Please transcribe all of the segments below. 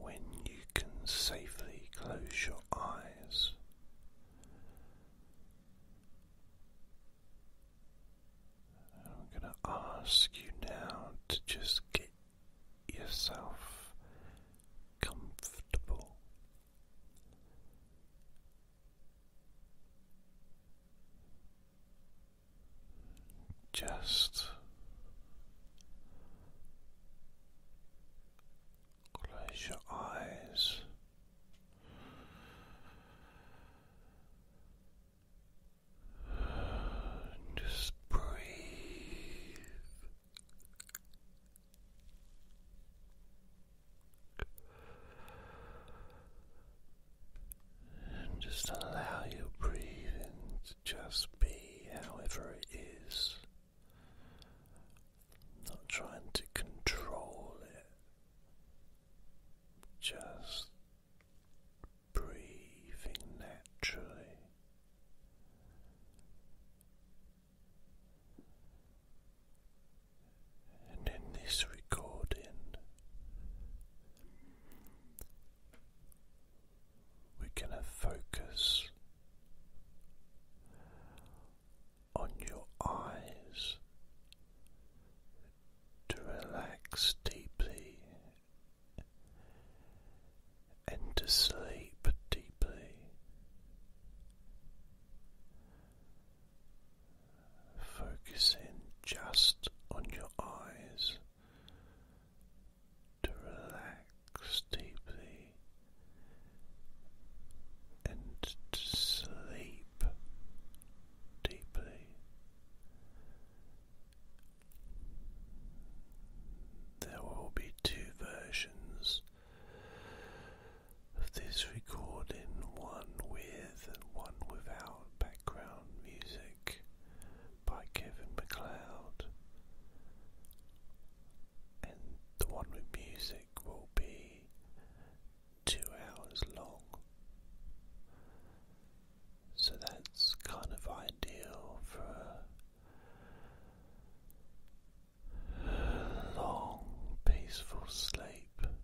when you can safely close your eyes. I'm going to ask you now to just get yourself comfortable. Just Close your eyes. Just breathe. just allow your breathing to just be however it is. Not trying to control it, just breathing naturally. And in this recording, we're going to focus on your eyes to relax deeply and to sleep deeply. Focusing just on your eyes to relax deeply and to sleep deeply. There will be two versions of this recording one with and one without background music by Kevin McLeod and the one with music will be two hours long. So that's kind of ideal for a long, peaceful sleep. And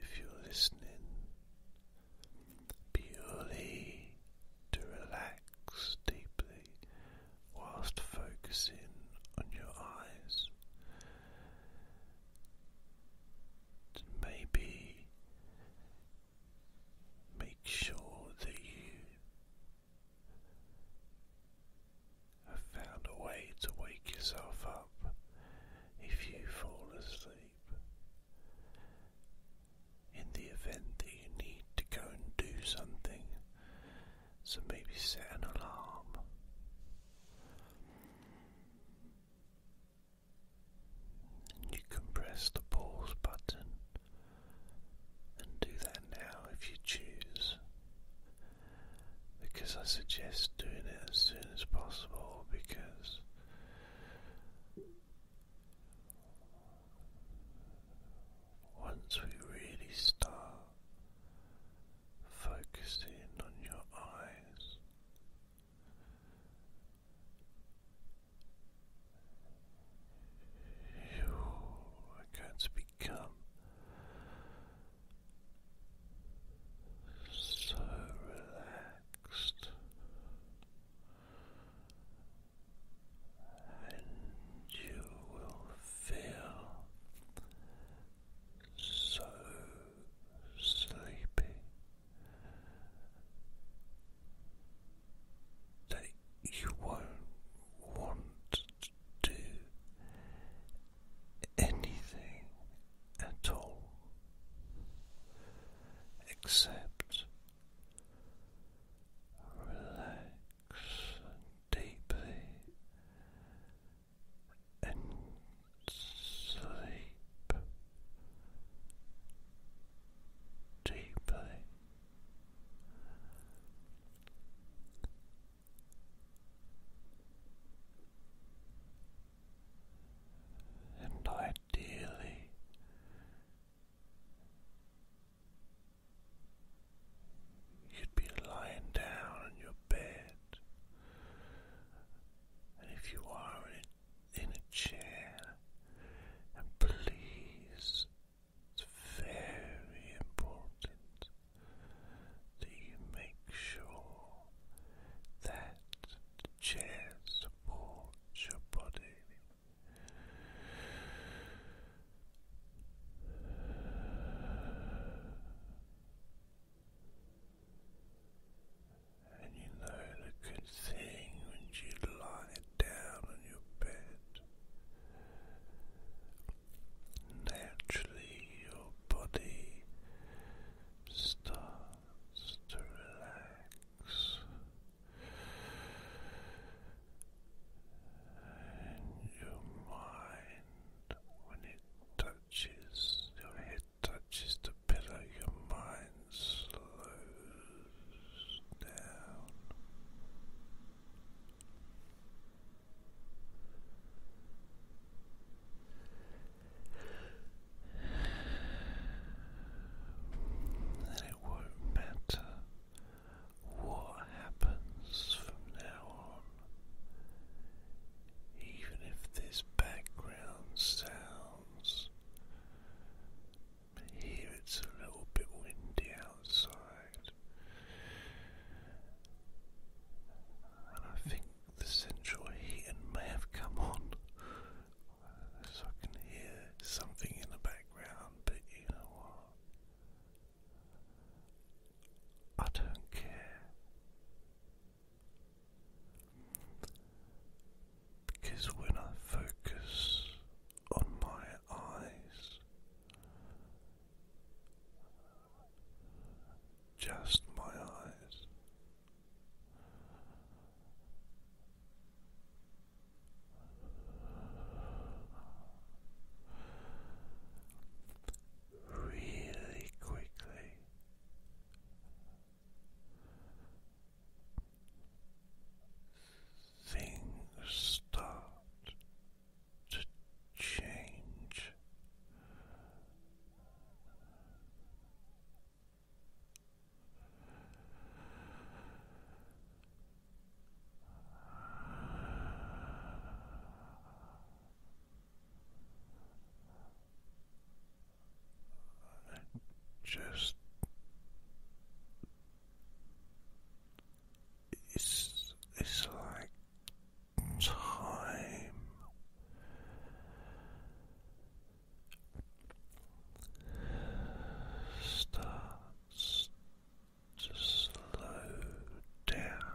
if you're listening purely to relax deeply whilst focusing on your eyes. maybe make sure that you have found a way to wake yourself up if you fall asleep. In the event that you need to go and do something, so maybe set an alarm. You can press the pause button and do that now if you choose, because I suggest doing it as soon as possible because. Once we really start focusing on your eyes, you are going to become so relaxed and you will feel so sleepy that you won't want to do anything at all except relax deeply and sleep deeply. And I Dearly, you'd be lying down in your bed, and if you are in a chair, and please, it's very important that you make sure that chair supports your body. And you know the good thing when you lie down on your bed, naturally your body starts to relax and your mind when it touches your head touches the pillow, your mind slows down it won't matter what happens from now on. Even if this background sounds, here it's a little bit windy outside, and I think the central heating may have come on so I can hear something in the background, but you know what? I don't care. Because when I focus on my eyes, just my eyes, really quickly. Things start to change. Just it's it's like time starts to slow down.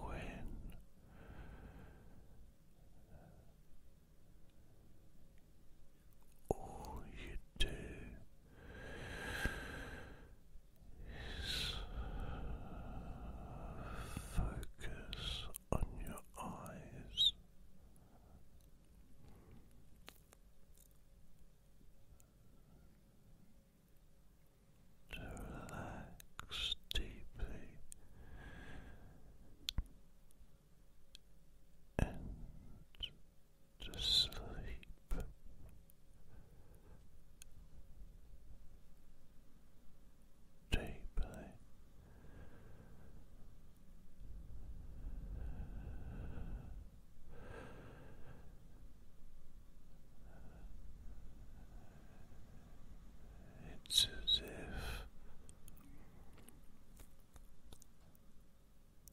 When all you do focus on your eyes. To relax deeply to sleep. Deeply it's as if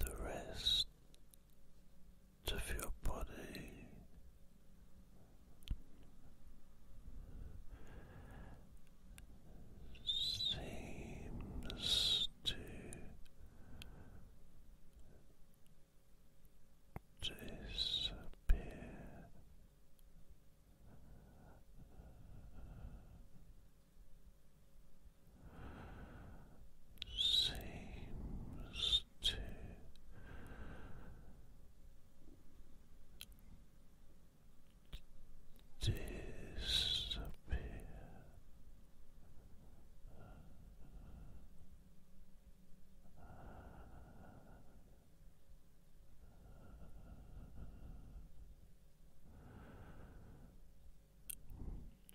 the rest of your body. Seems to disappear seems to disappear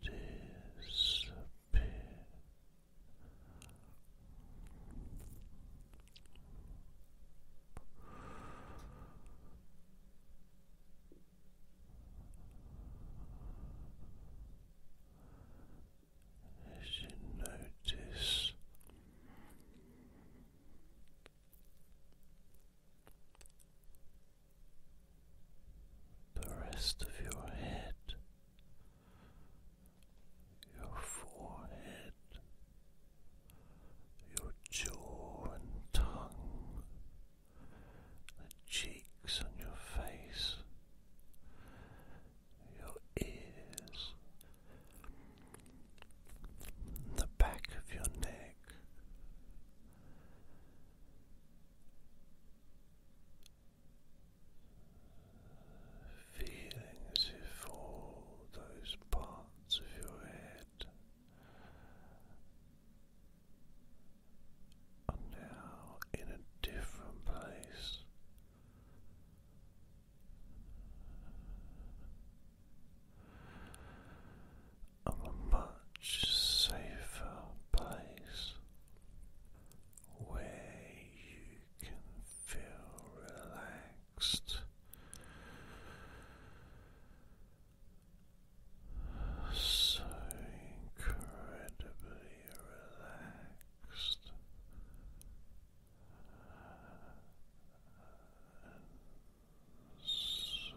disappear. As you notice the rest of your head, your forehead, your jaw and tongue, the cheeks on your face, your ears, the back of your neck. Feeling if all those parts of your head are now in a different place. On a much safer place where you can feel relaxed, so incredibly relaxed. so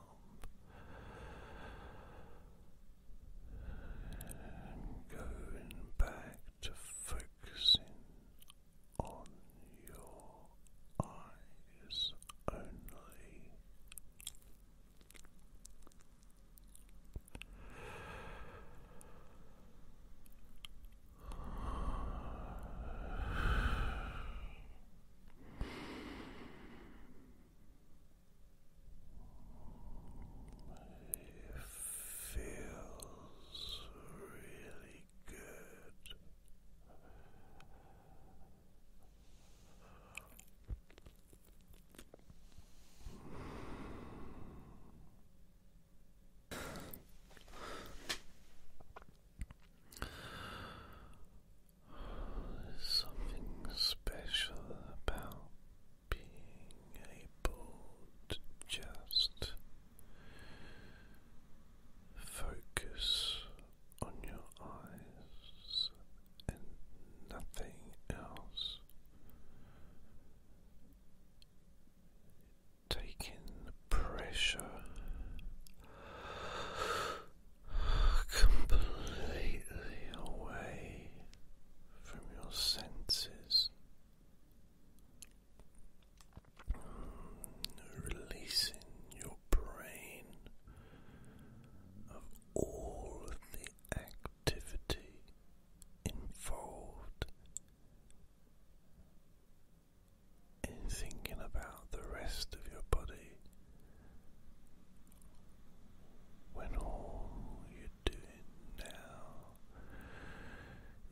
and going back to focusing on your eyes only. It feels really good. There's something special about being able to just focus on your eyes and nothing else. Taking pressure completely away from your senses, releasing your brain of all the activity involved in thinking about the rest of your body when all you're doing now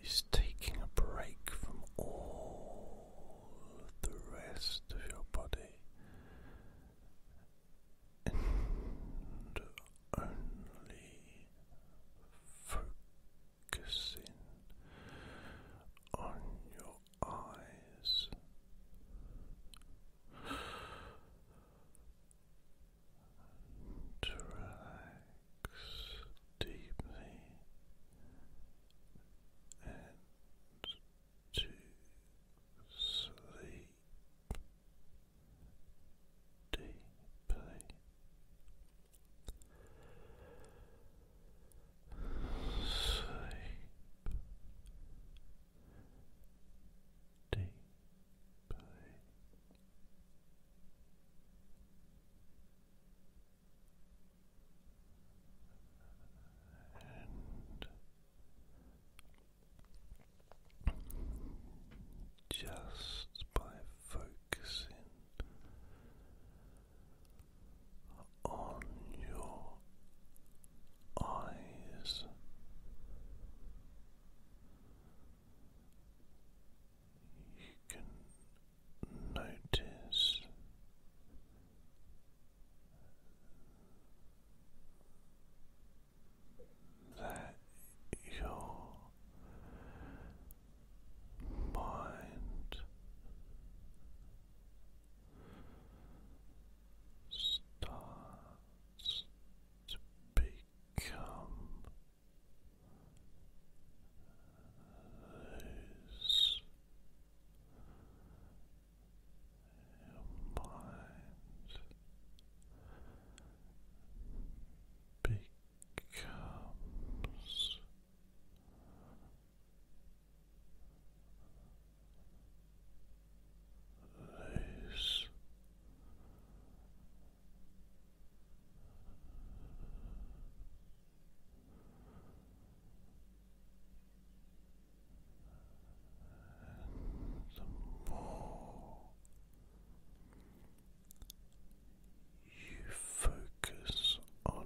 is taking a break from all the rest of your body and only focusing on your eyes. To relax deeply and to sleep deeply. Sleep deeply. And just by focusing on your eyes. You can notice that your mind starts to become loose. Your mind becomes loose. the more you focus on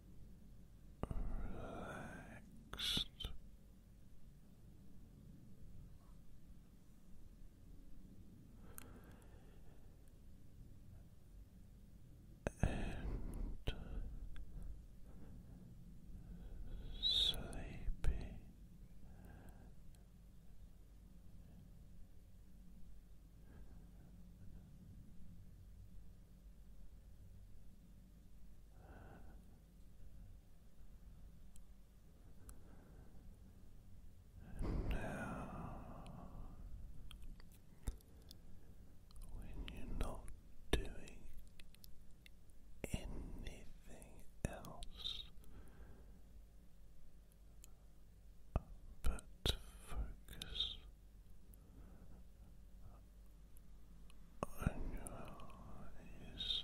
relaxed. And sleepy and now, when you're not doing anything else but focus on your eyes. Feels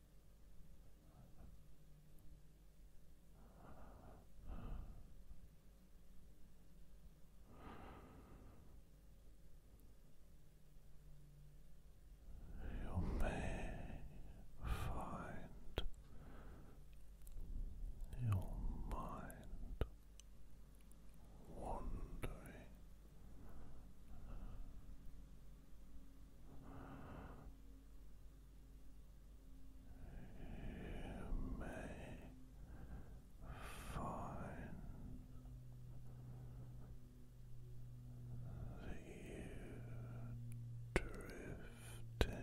You may find your mind wandering you may find that you drift in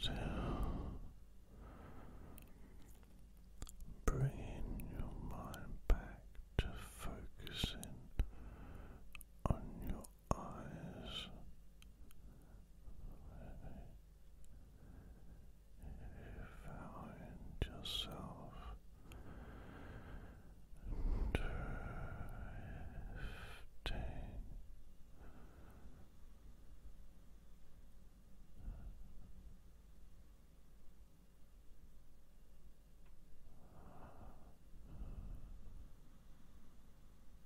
Still bringing your mind back to focusing on your eyes. You found yourself Drifting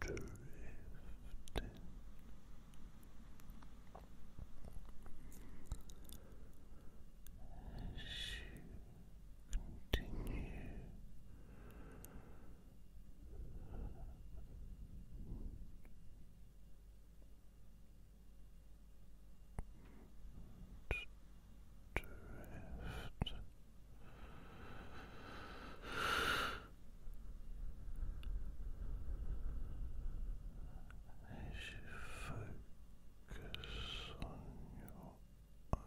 drifting. As you continue drift as you focus on your eyes.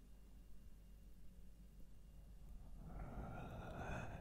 Relaxing. Relaxing.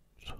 time.